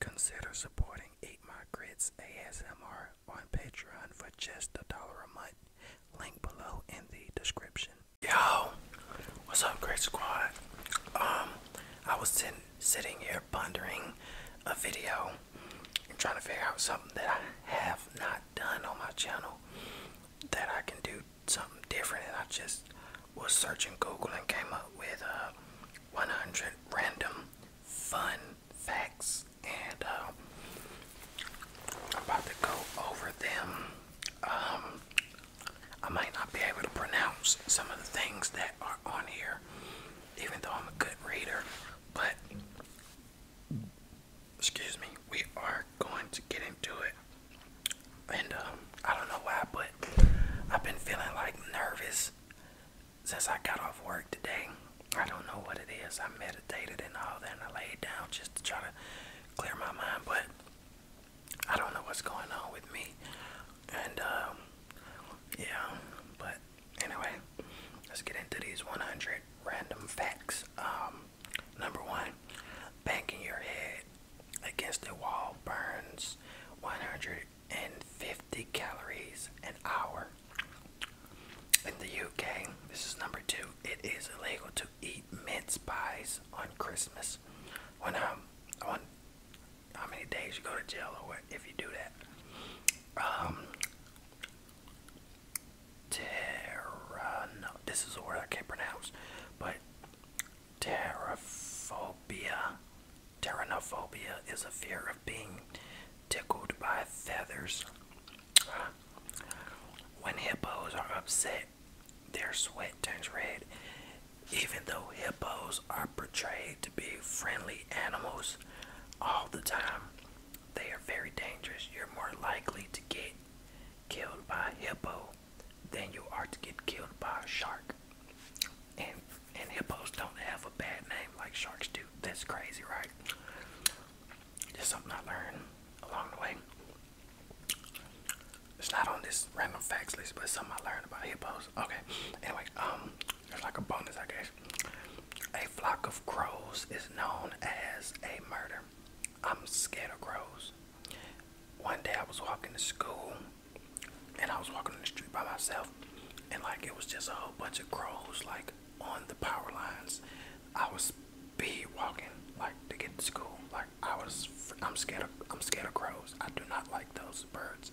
Consider supporting Eat My Grits ASMR on Patreon for just a dollar a month. Link below in the description. Yo, what's up, Great Squad? Um, I was sitting here pondering a video I'm trying to figure out something that I have not done on my channel that I can do something different. And I just was searching Google and came up with uh, 100 random fun facts, and uh, I'm about to go over them. Um, I might not be able to pronounce some of the things that are on here, even though I'm a good reader, but excuse me, we are going to get into it. And um, I don't know why, but I've been feeling like nervous since I got off work today. I don't know what it is. I meditated and all that, and I laid down just to try to clear my mind, but I don't know what's going on with me. And um, yeah, but Anyway, let's get into these 100 random facts. Um, number one, banging your head against the wall burns 150 calories an hour. In the UK, this is number two, it is illegal to eat mince pies on Christmas. When um, on how many days you go to jail or what if you do that? Um, Terra. No, this is a word I can't pronounce, but terraphobia. Terranophobia is a fear of being tickled by feathers. When hippos are upset, their sweat turns red. Even though hippos are portrayed to be friendly animals all the time, they are very dangerous. You're more likely to get killed by a hippo than you are to get killed by a shark. And and hippos don't have a bad name like sharks do. That's crazy, right? Just something I learned along the way. It's not on this random facts list, but something I learned about hippos. Okay. Anyway, um it's like a bonus, I guess. A flock of crows is known as a murder. I'm scared of crows. One day I was walking to school and I was walking on the street by myself and like it was just a whole bunch of crows like on the power lines. I was speed walking like to get to school. Like I was I'm scared of I'm scared of crows. I do not like those birds.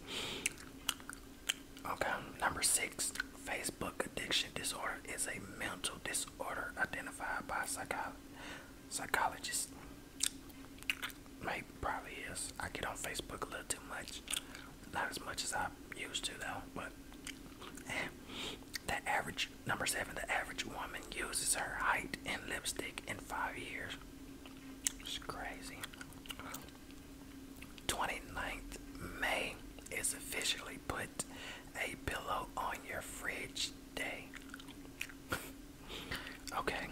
Okay, number six, Facebook addiction disorder is a mental disorder identified by psycho psychologists. Maybe probably is. I get on Facebook a little too much, not as much as I used to though. But the average number seven, the average woman uses her height and lipstick in five years. It's crazy. 29th May is officially put a pillow on your fridge day. okay,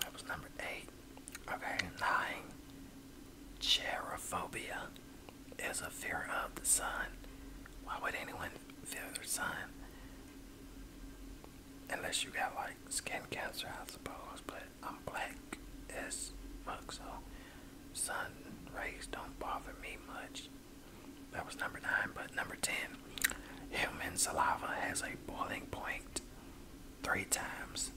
that was number eight. Okay, nine. Cherophobia is a fear of the sun. Why would anyone fear the sun? Unless you got like skin cancer, I suppose, but I'm black as fuck, so sun rays don't bother me much. That was number nine, but number ten, human saliva has a boiling point three times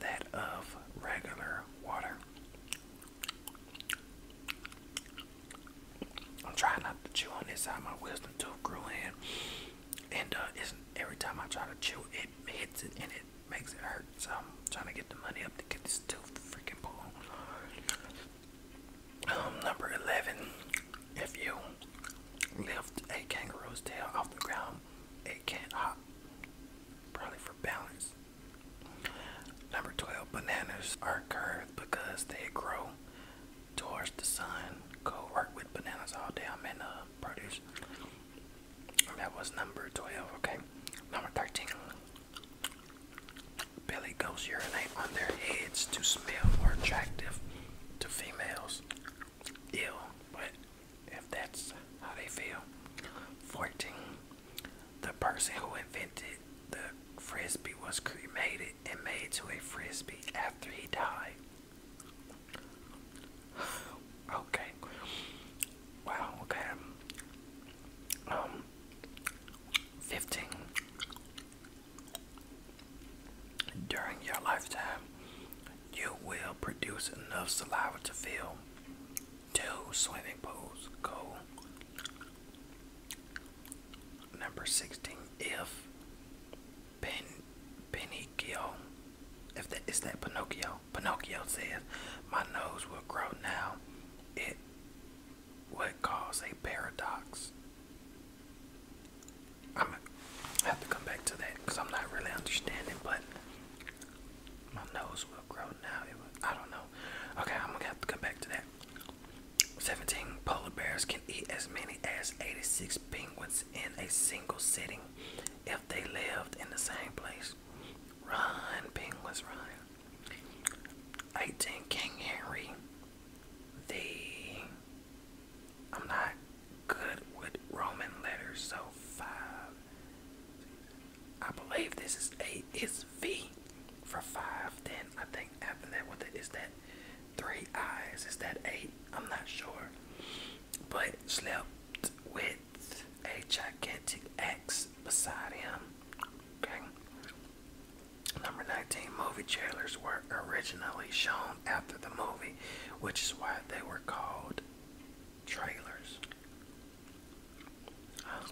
that of regular water. I'm trying not to chew on this side. My wisdom tooth grew in, and uh, every time I try to chew, it hits it and makes it hurt. So I'm trying to get the money up to get this tooth freaking pulled. Um, number 11. If you lift a kangaroo's tail off the ground, it can't hop. Probably for balance. Number 12. Bananas are curved because they grow towards the sun. Go work with bananas all day. I'm in a uh, produce. That was number 12, okay? Number 13. Billy goats urinate on their heads to smell more attractive to females. Ew, but if that's how they feel. 14. The person who invented the frisbee was cremated and made to a frisbee after he died okay. Wow, okay. Um, 15. During your lifetime, you will produce enough saliva to fill two swimming pools. Go. Number 16. If Pinocchio, if that Pinocchio, Pinocchio says, My nose will grow now. It would cause a paradox. I'm I have to come back to that because I'm not really understanding, but my nose will grow now. I don't know. Okay, I'm gonna have to come back to that. 17 polar bears can eat as many as 86 penguins in a single sitting if they lived in the same place. Run, penguins, run. 18 King Henry. The I'm not good with Roman letters, so five. I believe this is eight. It's V for five. Then I think after that, what is that? Three eyes. Is that eight? I'm not sure but slept with a gigantic axe beside him. Okay. Number 19 movie trailers were originally shown after the movie, which is why they were called trailers. Uh,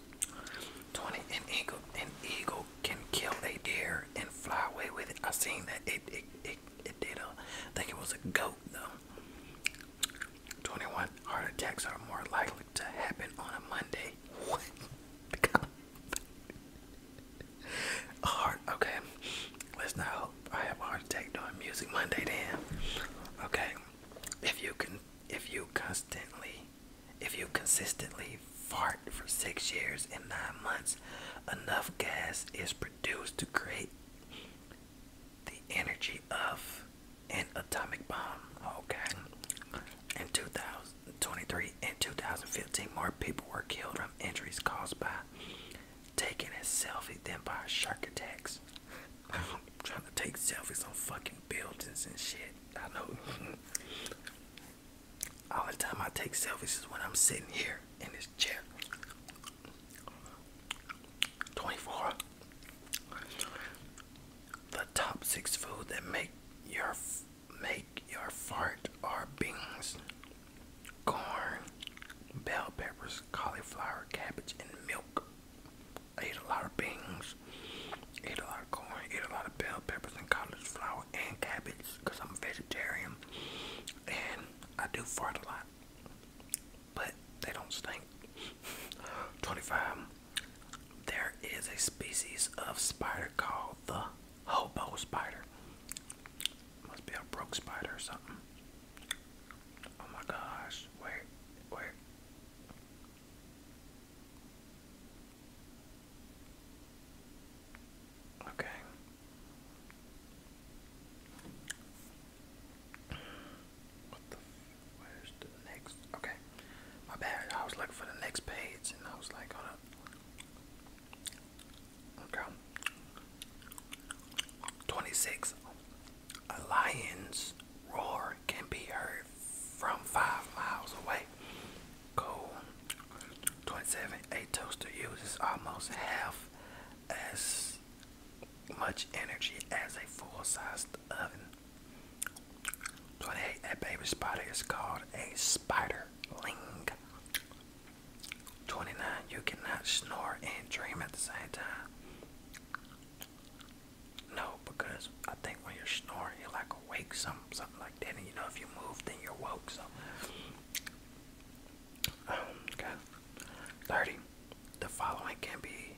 20 an eagle an eagle can kill a deer and fly away with it. I seen that it it, it, it did a I think it was a goat though. 21 heart attacks are more likely to happen on a Monday. What? a heart, okay. Let's not hope I have a heart attack doing music Monday then. Okay. If you can if you constantly if you consistently fart for six years and nine months, enough gas is produced to create the energy of an atomic bomb. Okay. In 2023 and 2015, more people were killed from injuries caused by taking a selfie than by shark attacks. I'm trying to take selfies on fucking buildings and shit. I know. All the time I take selfies is when I'm sitting here in this chair. 24. The top six food that make your make your fart are beans, corn, bell peppers, cauliflower, cabbage, and milk. I eat a lot of beans, eat a lot of corn, eat a lot of bell peppers and cauliflower and cabbage because I'm a vegetarian and I do fart a lot but they don't stink. 25. There is a species of spider called the hobo spider. Must be a broke spider or something. Oh my gosh. Where? Where? Okay. Okay, my bad. I was looking for the next page, and I was like, hold up. Okay. Twenty-six. A lion's roar can be heard from five miles away. Cool. Twenty-seven. A toaster uses almost half as much energy as a full-sized oven. So that baby spider is called a spiderling. 29. You cannot snore and dream at the same time. No, because I think when you're snoring, you're like awake, something, something like that. And you know, if you move, then you're woke. So um, okay. 30. The following can be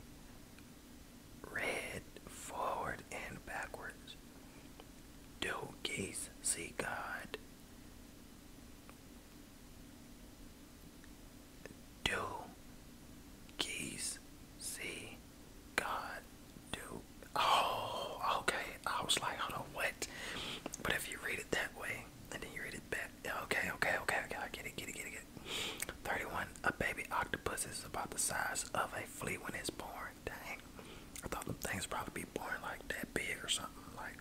read forward and backwards. Do geese see God? Do geese see God? Do oh okay. I was like, what? But if you read it that way and then you read it back. Okay, okay, okay, okay. I get it, get it, get it, get it. 31. A baby octopus is about the size of a flea when it's born. Dang. I thought the things probably be born like that big or something. Like,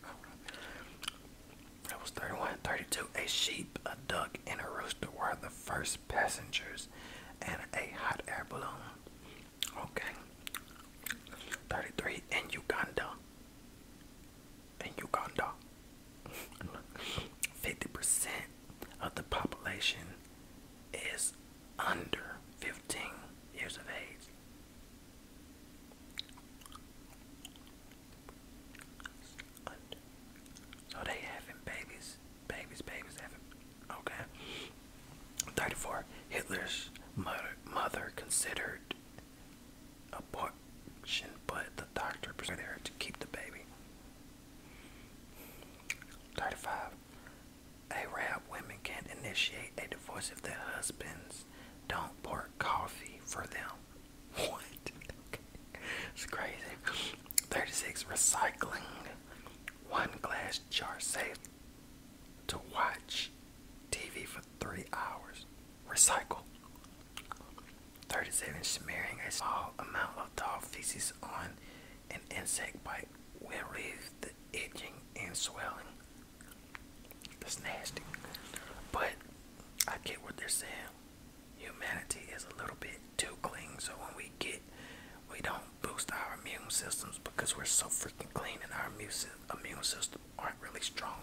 that was 31. 32. A sheep, a duck, and a rooster were the first passengers and a hot air balloon. Okay. 33. In Uganda, in Uganda. 50% of the population is under 15 years of age. So they having babies, babies, babies having. Okay. 34. Hitler's mother, mother considered abortion, but the doctor persuaded there to keep the baby. 35. Arab women can not initiate a divorce if their husbands don't pour coffee for them. What? it's crazy. 36. Recycling. One glass jar safe to watch TV for three hours. Recycle. 37. Smearing a small amount of dog feces on an insect bite will relieve the itching and swelling. That's nasty. But I get what they're saying. Humanity is a little bit too clean, so when we get, we don't boost our immune systems because we're so freaking clean in our immune system aren't really strong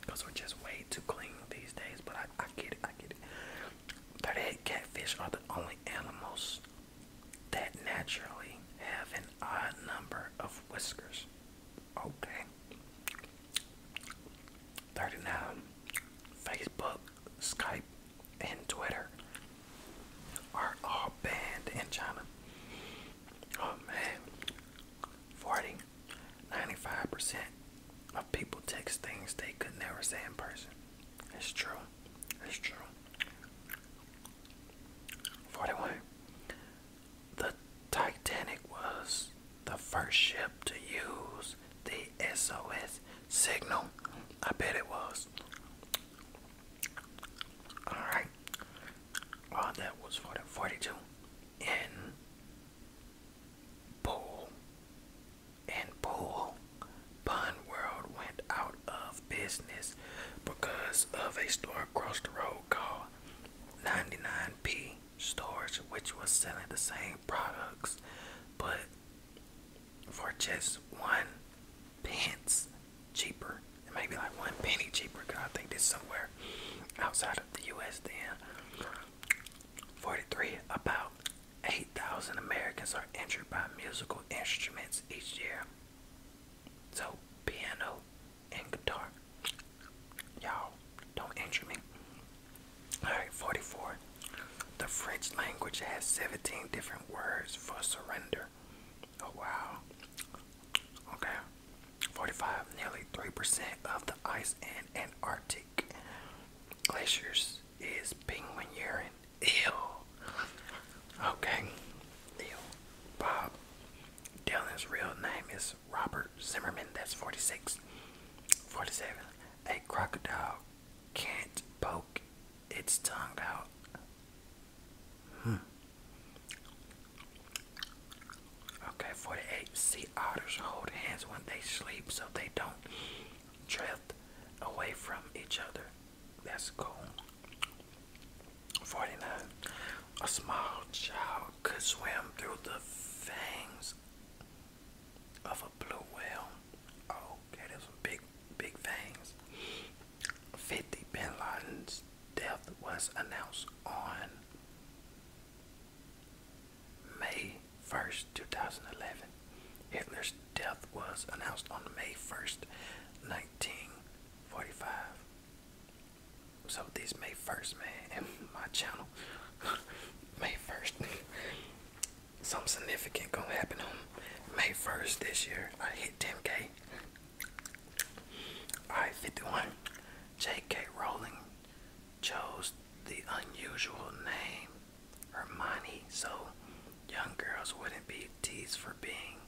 because we're just way too clean these days. But I, I get it, I get it. 38 catfish are the only animals that naturally have an odd number of whiskers. Okay. 39. Facebook, Skype, and Twitter are all banned in China. Oh man. 40. percent of people text things they could never say in person. It's true. It's true. 41. The Titanic was the first ship to use the SOS signal. I bet it was. Alright. Oh, that was 42 in Pool and Pool Pun World went out of business because of a store across the road called 99P Stores, which was selling the same products but for just one pence cheaper it may be like one penny cheaper because I think this somewhere outside of the US then. 43. About 8,000 Americans are injured by musical instruments each year. So, piano and guitar. Y'all, don't injure me. Alright, 44. The French language has 17 different words for surrender. Oh wow. Okay. 45, nearly 3% of the ice in Antarctic glaciers is penguin urine. Ew. Okay. Ew. Bob Dylan's real name is Robert Zimmerman. That's 46. 47. A crocodile can't poke its tongue out. Hmm. Okay, 48. Sea otters hold hands when they sleep so they don't drift away from each other. That's cool. 49. A small child could swim through the fangs of a blue whale. okay, there's some big, big fangs. 50. Bin Laden's death was announced on May 1st, 2011. Hitler's death was announced on May 1st, 1945. So this May 1st, man, my channel, May 1st, something significant gonna happen on May 1st this year. I hit 10K. Alright, 51. J.K. Rowling chose the unusual name Hermione so young girls wouldn't be teased for being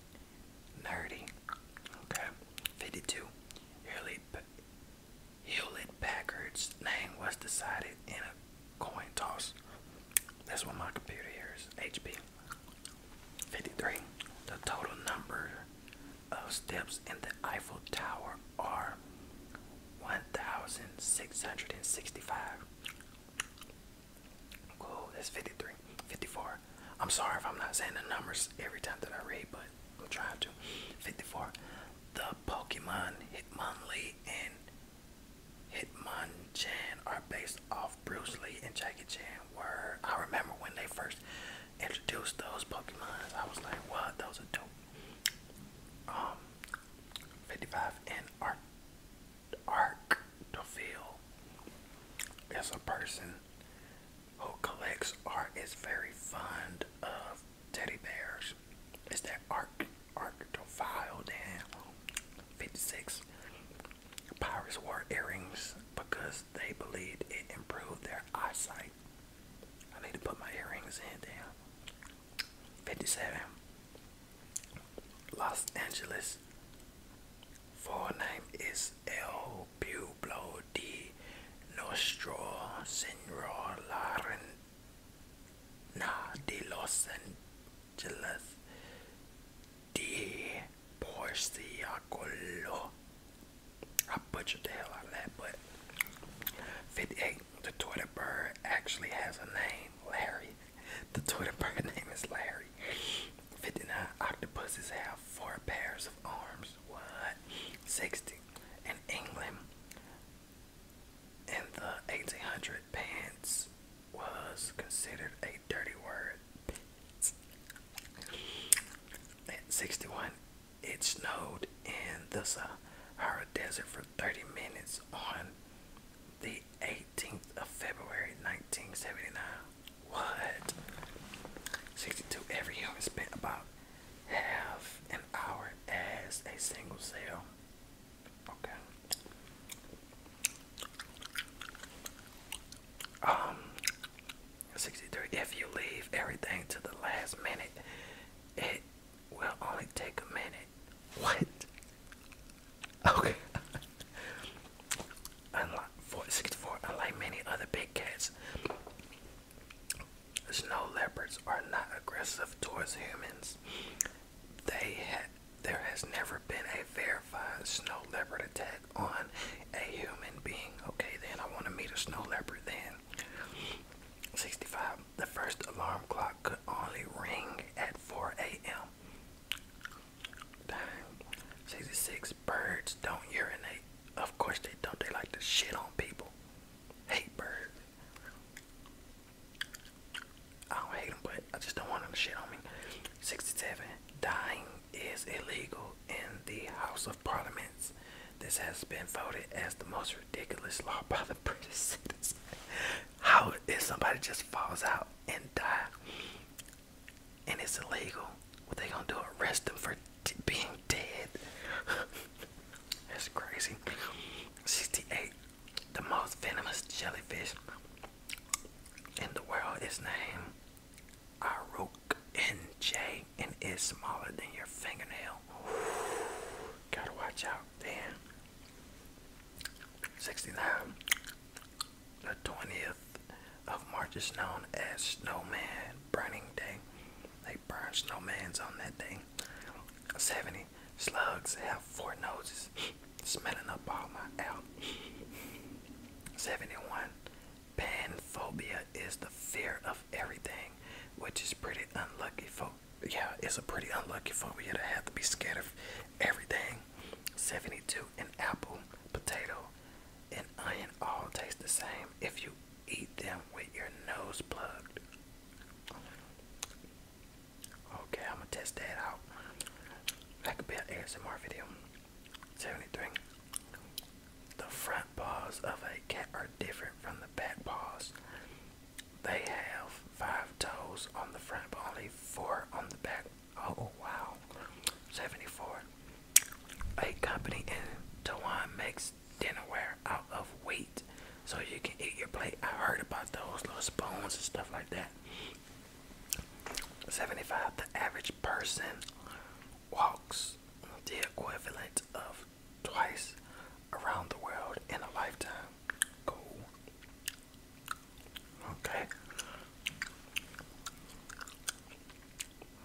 nerdy. Okay. 52. Hewlett, Packard's name was decided in a coin toss. That's what my computer hears. HP. 53. The total number of steps in the Eiffel Tower are 1,665. Cool, that's 53. 54. I'm sorry if I'm not saying the numbers every time that I read, but I'm trying to. 54. The Pokemon Hitmonlee and Hitmonchan are based off Bruce Lee and Jackie Chan were. I remember when they first introduced those Pokemons. I was like, "What? Those are dope." Um, 55 and Art Arc is a person who collects art. Is very fond of teddy bears. Is that art? Arc Deville? Then 56 Pirates wore earrings because they believed it improved their eyesight. I need to put my earrings in, there. 57. Los Angeles. Full name is El Pueblo de Nostro Senor Larena de Los Angeles de Porciacolo. I butchered the hell out of that, but 58. The Twitter bird actually has a name, Larry. The Twitter bird name is Larry. 59. Octopuses have four pairs of arms. What? 60. In England, in the 1800 pants was considered a dirty word. At 61, it snowed in the Sahara Desert for 30 minutes on the 18th of February 1979. What? 62. Every human spent about half an hour as a single cell. Okay. Um, 63. If you leave everything to the last minute, it will only take a minute. What? Okay. Unlike 64, unlike many other big cats, snow leopards are not aggressive towards humans. They ha there has never been a verified snow leopard attack on a human being. Okay, then I want to meet a snow leopard. Then 65. The first alarm clock could only ring at 4 a.m. 66. Birds don't urinate. Of course they don't. They like to shit on people. Hate birds. I don't hate them, but I just don't want them to shit on me. 67. Dying is illegal in the House of Parliaments. This has been voted as the most ridiculous law by the British citizens. How if somebody just falls out and die and it's illegal? What they gonna do? Arrest them for being dead? That's crazy. 68. The most venomous jellyfish in the world is named Aruk NJ and is smaller than your fingernail. Gotta watch out, man. 69. The 20th of March is known as Snowman Burning Day. They burn snowmans on that day. 70. Slugs have four noses. Smelling up all my out. 71. Panphobia is the fear of everything, which is pretty unlucky. for. yeah, it's a pretty unlucky phobia to have to be scared of everything. 72. An apple, potato, and onion all taste the same if you eat them with your nose plugged. Okay, I'm gonna test that out. That could be an ASMR video. Seventy three. The front paws of a cat are different from the back paws. They have five toes on the front, but only four on the back. Oh wow. Seventy four. A company in Taiwan makes dinnerware out of wheat so you can eat your plate. I heard about those little spoons and stuff like that. 75. The average person walks the equivalent of twice around the world in a lifetime. Cool. Okay.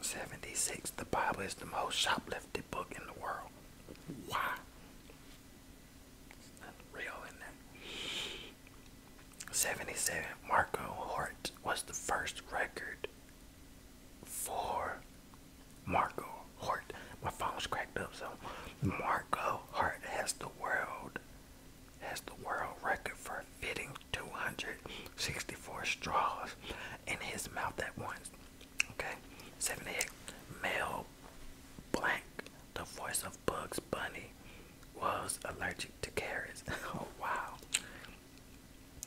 76. The Bible is the most shoplifted book in the world. Why? real in that. 77 Marco Hart was the first record for Marco Hart. My phone's cracked up, so Marco Hort has the world has the world record for fitting 264 straws in his mouth at once. Okay, 78 Mel Blanc, the voice of Bugs Bunny was allergic to carrots. oh, wow.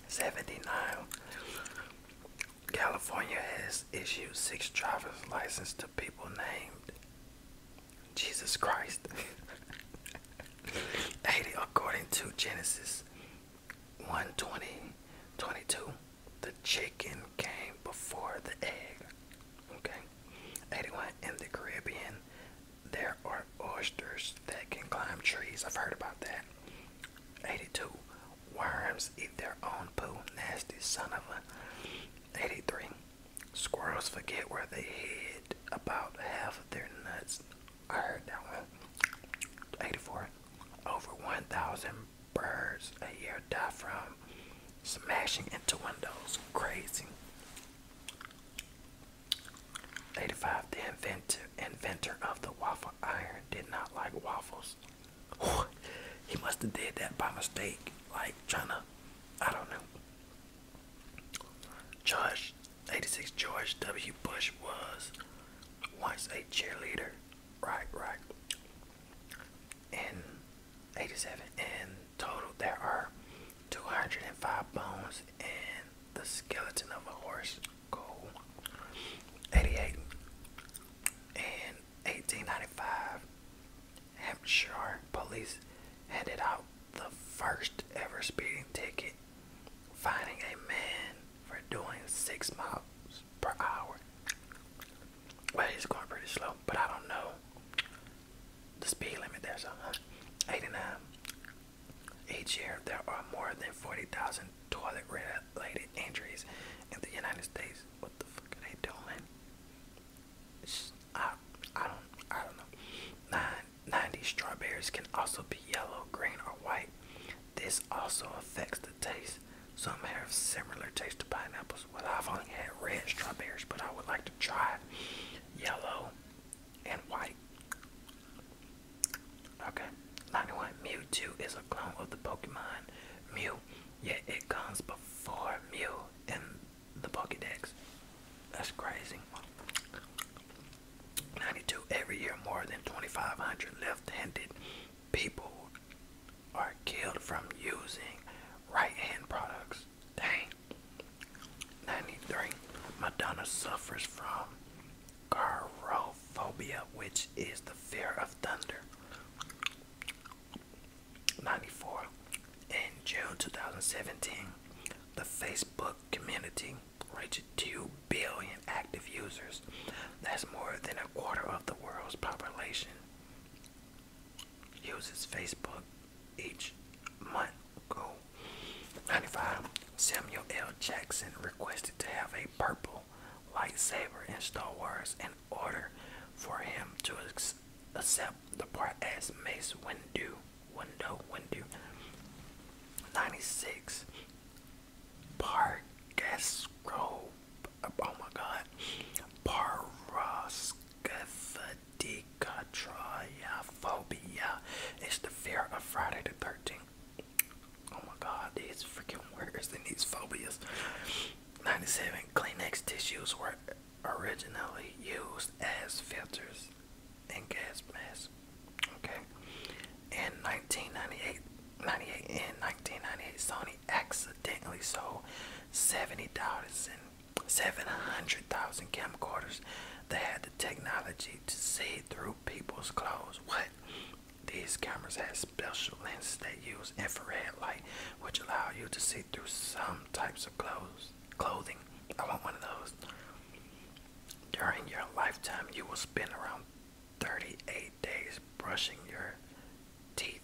79. California has issued six driver's license to people named Jesus Christ. 80. According to Genesis 120, 22, the chicken came before the egg. Okay. 81 in the Caribbean, there are oysters that can climb trees. I've heard about that. 82. Worms eat their own poo. Nasty son of a. 83. Squirrels forget where they hid about half of their nuts. I heard that one. 84. Over 1,000 birds a year die from smashing into windows. Crazy. 85. The inventor, inventor of the waffle iron did not like waffles. he must have did that by mistake. Like trying to, I don't know. George, 86 George W. Bush was once a cheerleader. Right, right. In 87 in total there are 205 bones and the skeleton of a horse. Cool. 88 and 1895, Hampshire police handed out the first ever speeding ticket, finding a man for doing six miles per hour. Well, he's going pretty slow, but I don't know the speed limit there's a uh, 89. Each year, there are more than 40,000 toilet related injuries in the United States. What the fuck are they doing? I, I, don't, I don't know. Nine, 90 strawberries can also be yellow, green, or white. This also affects the taste. Some have similar taste to pineapples. Well, I've only had red strawberries, but I would like to try yellow and white. Okay, Lightning Mewtwo is a clone of the Pokemon Mew, yet it comes before Mew in the Pokedex. That's crazy. 92. Every year, more than 2,500 left handed people are killed from using right hand products. Dang. Ninety-three. Madonna suffers from garophobia, which is the fear of thunder. Ninety-four. In June 2017, the Facebook community reached 2 billion active users. That's more than a quarter of the world's population uses Facebook each month ago. 95. Samuel L. Jackson requested to have a purple lightsaber in Star Wars in order for him to accept the part as Mace Windu. Window, Windu. 96. Pargasco. Oh my god. Parrascatha Dicotrophobia is the fear of Friday the 13th. Oh my god, these freaking words and these phobias. 97. Kleenex tissues were originally used as filters in gas masks. Okay. In 1998, in 1998, Sony accidentally sold $70,000 700,000 camcorders that had the technology to see through people's clothes. What? These cameras had special lenses that use infrared light, which allow you to see through some types of clothes. Clothing. I want one of those. During your lifetime, you will spend around 38 days brushing your teeth.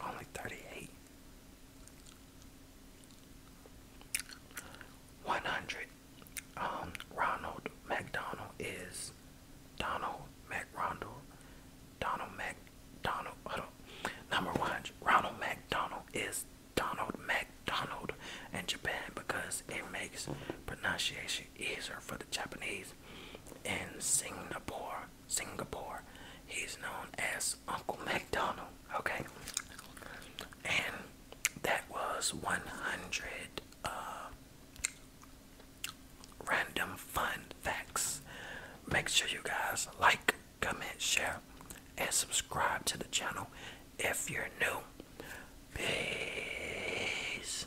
Only 38. 100. Um, Ronald McDonald is Donald McRondell. Donald McDonald. Hold Number 100. Ronald McDonald is Donald McDonald in Japan because it makes pronunciation easier for the Japanese. In Singapore, Singapore. He's known as Uncle McDonald, okay? And that was 100 uh, random fun facts. Make sure you guys like, comment, share, and subscribe to the channel if you're new. Peace.